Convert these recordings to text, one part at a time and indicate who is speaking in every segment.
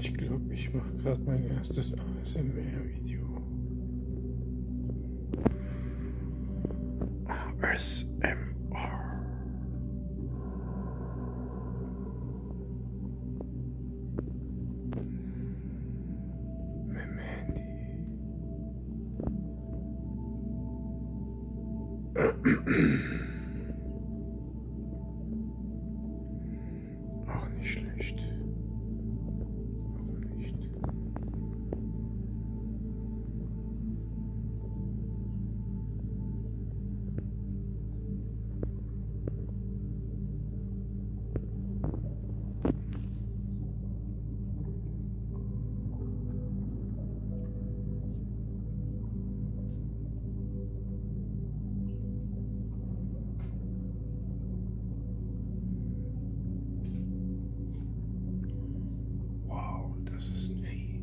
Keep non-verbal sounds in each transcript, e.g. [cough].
Speaker 1: Ich glaube, ich mache gerade mein erstes ASMR-Video. ASMR. Mit dem Handy. [clears throat] Auch nicht schlecht. Warum nicht? Wow, das ist ein Vieh.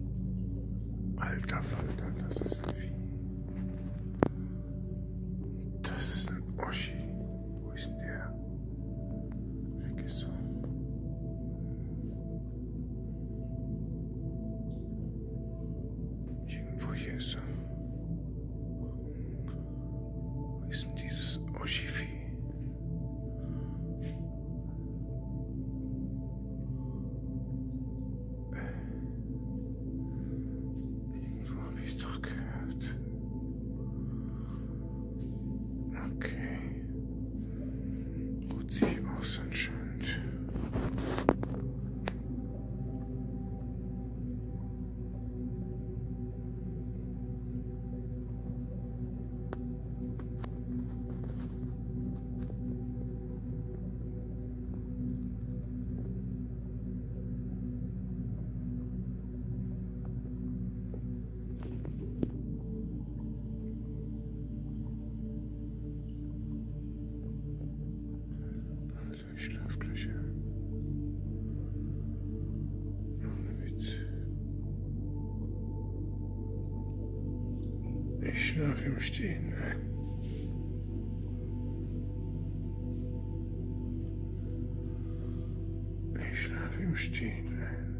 Speaker 1: Alter Falter, das ist ein Vieh. Das ist ein Oschi. Wo ist denn der? Weg ist er. Irgendwo hier ist er. Wo ist denn dieses Oshifi? Irgendwo habe ich doch gehört. Okay ruht sich aus anscheinend. Also, ich schlafe im Stehen ein. Ne? Ich schlafe im Stehen ein. Ne?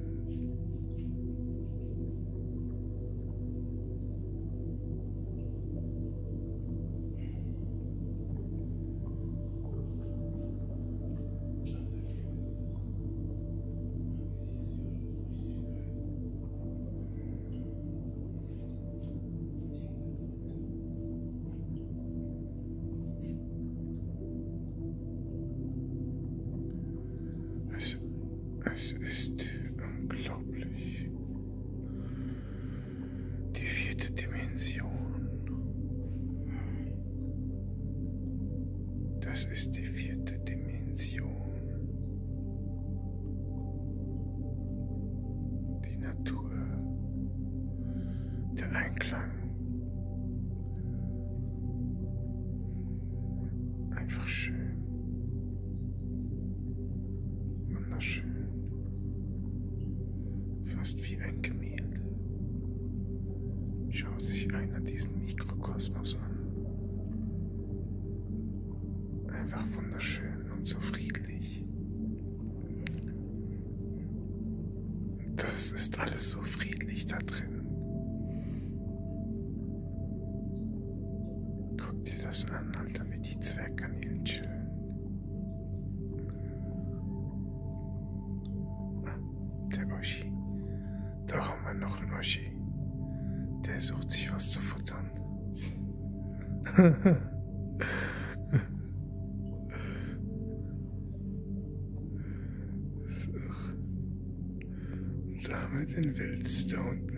Speaker 1: Es ist unglaublich. Die vierte Dimension. Das ist die vierte Dimension. Die Natur. Der Einklang. Einfach schön. Wunderschön. Fast wie ein Gemälde. Schau sich einer diesen Mikrokosmos an. Einfach wunderschön und so friedlich. Das ist alles so friedlich da drin. Guck dir das an, Alter, wie die Zwergkanälen chillen. Ah, der Oschi. Da haben wir noch einen Oschi. Der sucht sich was zu futtern. [laughs] damit in Wilds da unten.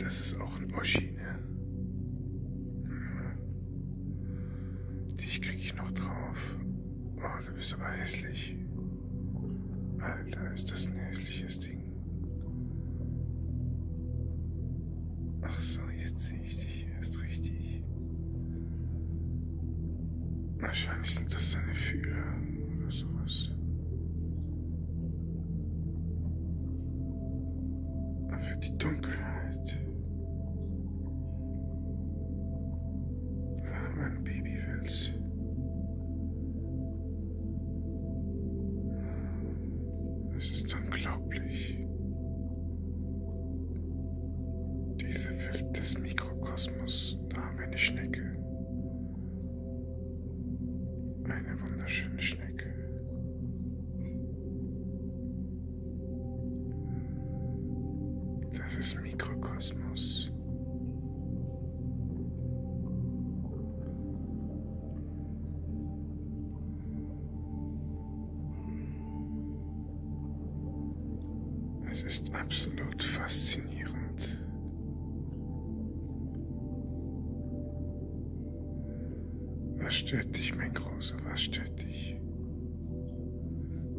Speaker 1: Das ist auch ein Oschi, ne? Dich krieg ich noch drauf. Oh, du bist so hässlich. Alter, ist das ein hässliches Ding. Ach so, jetzt sehe ich dich erst richtig. Wahrscheinlich sind das seine Fühler oder sowas. Und für die Dunkelheit. Da haben wir ein Babywels. Es ist unglaublich. Diese Welt des Mikrokosmos, da haben wir eine Schnecke. Eine wunderschöne Schnecke. Das ist Mikrokosmos. Es ist absolut faszinierend. Was stört dich, mein Großer? Was stört dich?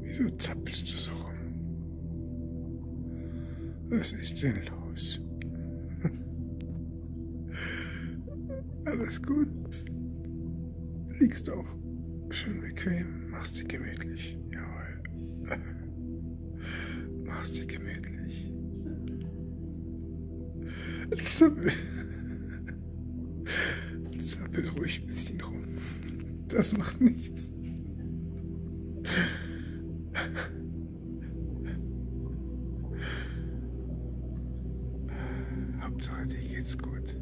Speaker 1: Wieso zappelst du so rum? Was ist denn los? [laughs] Alles gut. Liegst auch schön bequem, machst sie gemütlich. Jawohl. [laughs] Machst dir gemütlich. Zappel. Zappel ruhig ein bisschen rum. Das macht nichts. [laughs] Hauptsache dir geht's gut.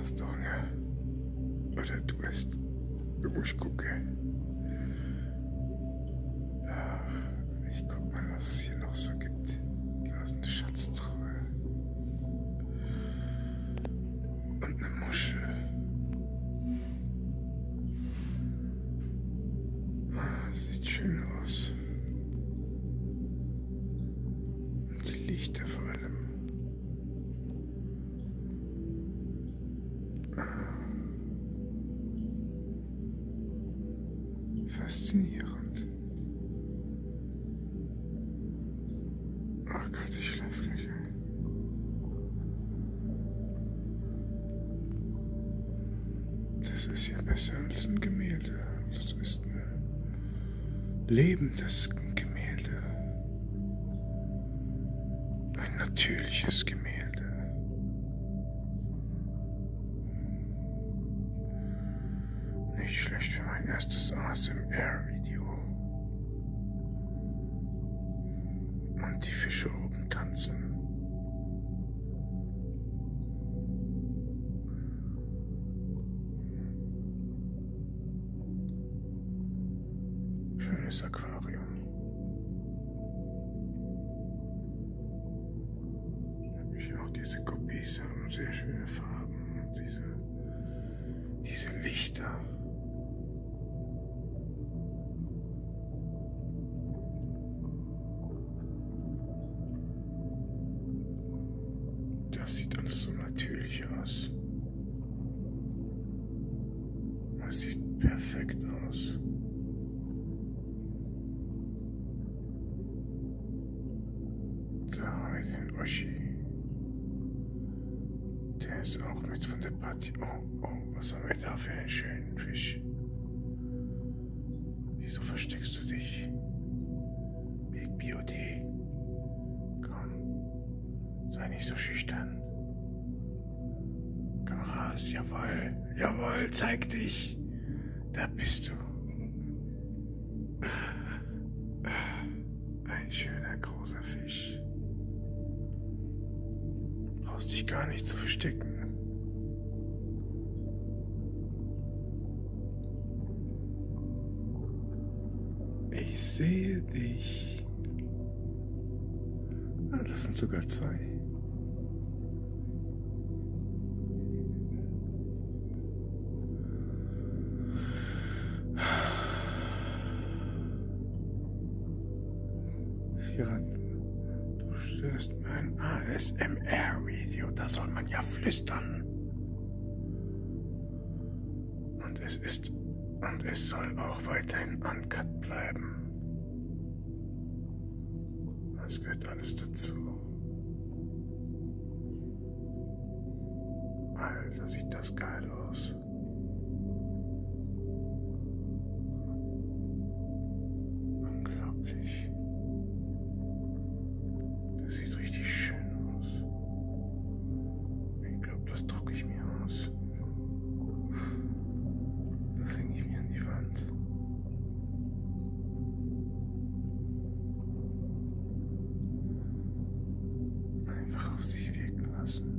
Speaker 1: Hast du Hunger? Oder du isst? Du musst gucken. Ach, ich guck mal, was es hier noch so gibt. Da ist eine Schatztruhe. Und eine Muschel. Ah, sieht schön aus. Und Lichter vor allem. Faszinierend. Ach Gott, ich schlafe gleich ein. Das ist ja besser als ein Gemälde. Das ist eine lebendes Gemälde, ein natürliches Gemälde. Nicht schlecht für mein erstes ASMR-Video. Und die Fische oben tanzen. Schönes Aquarium. Natürlich auch diese Guppies haben sehr schöne Farben und diese, diese Lichter. Das sieht alles so natürlich aus. Das sieht perfekt aus. Da haben wir den Oschi. Der ist auch mit von der Party. Oh, oh, was haben wir da für einen schönen Fisch? Wieso versteckst du dich? Big Beauty. Komm, sei nicht so schüchtern. Komm raus, jawoll, jawoll, zeig dich. Da bist du. Ein schöner großer Fisch. Du brauchst dich gar nicht zu verstecken. Ich sehe dich. Ah, das sind sogar zwei. Vier, du störst mein ASMR-Video. Da soll man ja flüstern ist dann. Und es ist und es soll auch weiterhin uncut bleiben. Das gehört alles dazu. Alter, also sieht das geil aus. Unglaublich. Das sieht richtig schön aus. Ich glaube, das drucke ich mir aus. Das hänge ich mir an die Wand. Einfach auf sich wirken lassen.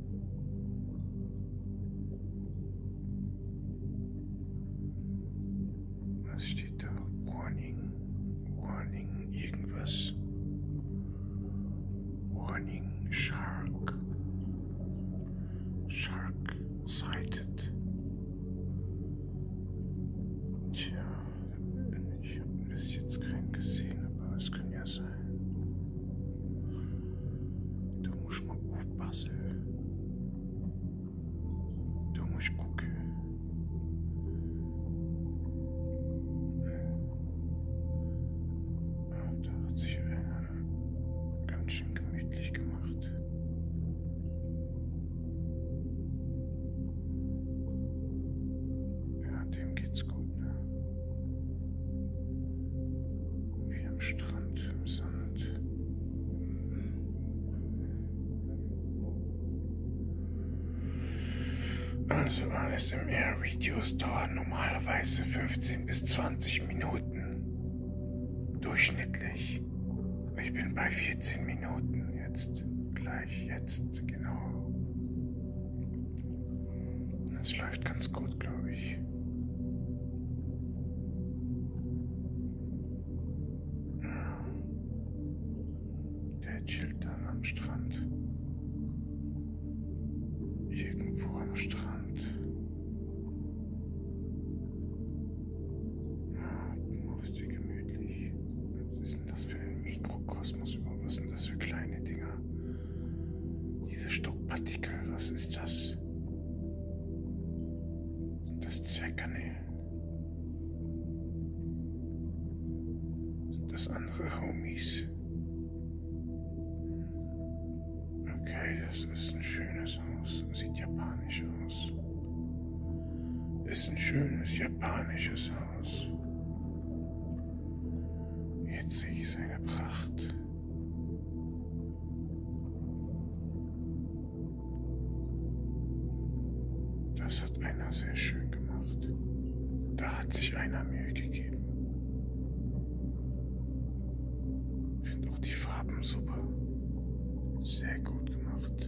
Speaker 1: Was steht da? Warning, Warning, irgendwas. Warning, Shark. Shark sighted. Tja, ich habe bis jetzt keinen gesehen, aber es kann ja sein. Tu musst mal aufpassen. Du musst gucken. Da hat sich einer äh, ganz schön gemütlich gemacht. Ja, dem geht's gut, ne? Wie am Strand, im Sand. Also ASMR-Videos dauern normalerweise 15 bis 20 Minuten. Durchschnittlich. Ich bin bei 14 Minuten jetzt. Gleich jetzt, genau. Das läuft ganz gut, glaube ich. Der chillt dann am Strand. Irgendwo am Strand. Machst dir gemütlich. Was ist denn das für ein Mikrokosmos? Was sind das für kleine Dinger? Diese Staubpartikel, was ist das? Das Zweckernähen. Sind das andere Homies? Okay, das ist ein schönes Haus. Sieht japanisch aus. Ist ein schönes japanisches Haus. Jetzt sehe ich seine Pracht. Das hat einer sehr schön gemacht. Da hat sich einer Mühe gegeben. Ich finde auch die Farben super. Sehr gut gemacht.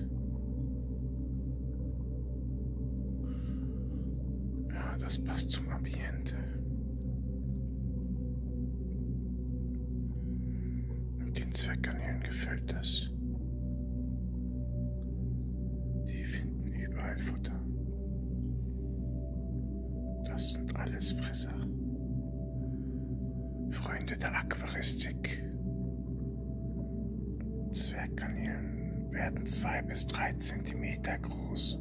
Speaker 1: Ja, das passt zum Ambiente. Und den Zweckkanälen gefällt das. Die finden überall Futter. Das sind alles Fresser. Freunde der Aquaristik. Zwergkanälen werden zwei bis drei Zentimeter groß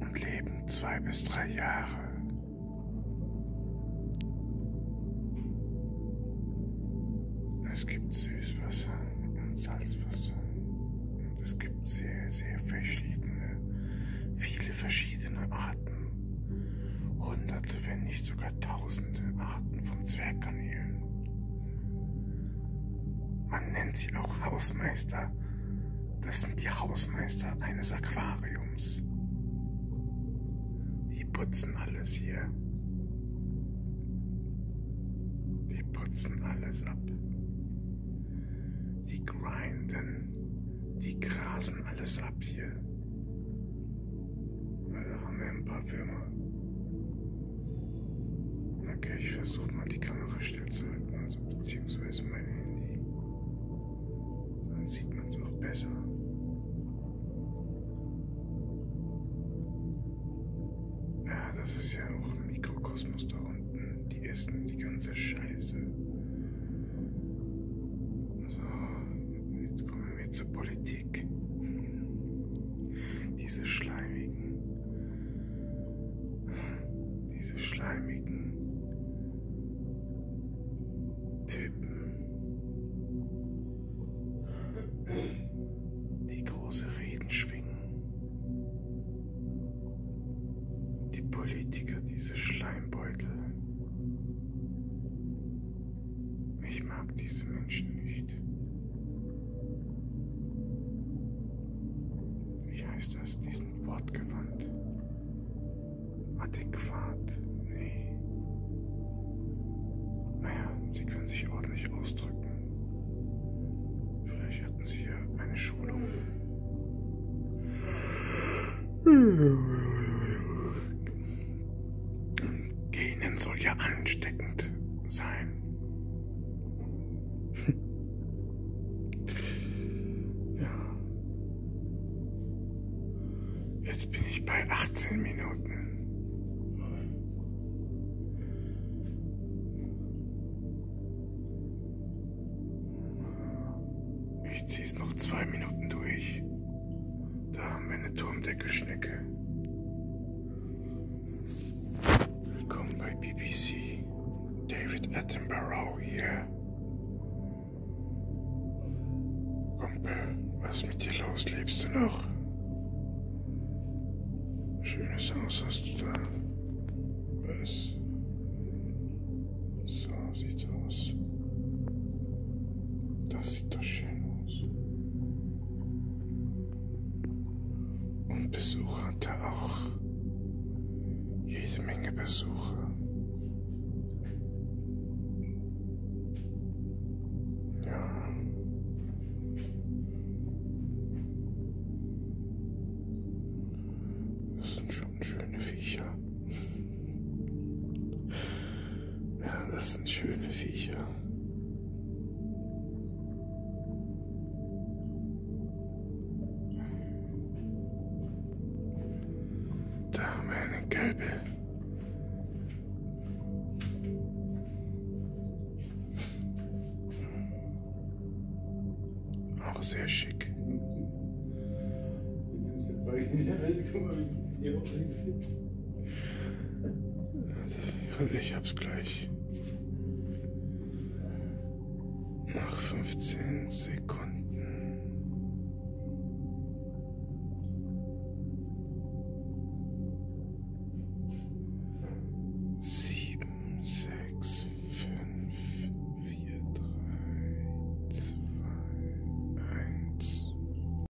Speaker 1: und leben zwei bis drei Jahre. Es gibt Süßwasser und Salzwasser und es gibt sehr, sehr verschiedene, viele verschiedene Arten. Hunderte, wenn nicht sogar tausende Arten von Zwergkanälen. Man nennt sie auch Hausmeister. Das sind die Hausmeister eines Aquariums. Die putzen alles hier. Die putzen alles ab. Die grinden. Die grasen alles ab hier. Da haben wir ein paar Würmer. Okay, ich versuche mal die Kamera stillzuhalten, also beziehungsweise mein Handy. Dann sieht man es auch besser. Ja, das ist ja auch ein Mikrokosmos da unten. Die essen die ganze Scheiße. So, jetzt kommen wir zur Politik richtig. Diese schleimigen, diese schleimigen Typen, die große Reden schwingen. Die Politiker, diese Schleimbeutel. Ich mag diese Menschen nicht. Wie heißt das? Die sind wortgewandt. Adäquat? Nee. Naja, sie können sich ordentlich ausdrücken. Vielleicht hatten sie ja eine Schulung. Genen soll ja ansteckend sein. [laughs] ja. Jetzt bin ich bei 18 Minuten. Ich ziehe es noch zwei Minuten durch. Da haben wir eine Turmdeckelschnecke. Willkommen bei BBC. David Attenborough hier. Kumpel, was mit dir los? Lebst du noch? Schönes Haus hast du da. Was? So sieht's aus. Das sieht das schön aus. Und Besucher hat er auch. Jede Menge Besucher. Ja. Das sind schon schöne Viecher. Ja, das sind schöne Viecher. Da haben wir eine gelbe. Auch sehr schick. Guck mal, wie die auch sind. Ich hab's gleich. Nach 15 Sekunden. Sieben, sechs, fünf, vier, drei, zwei, eins.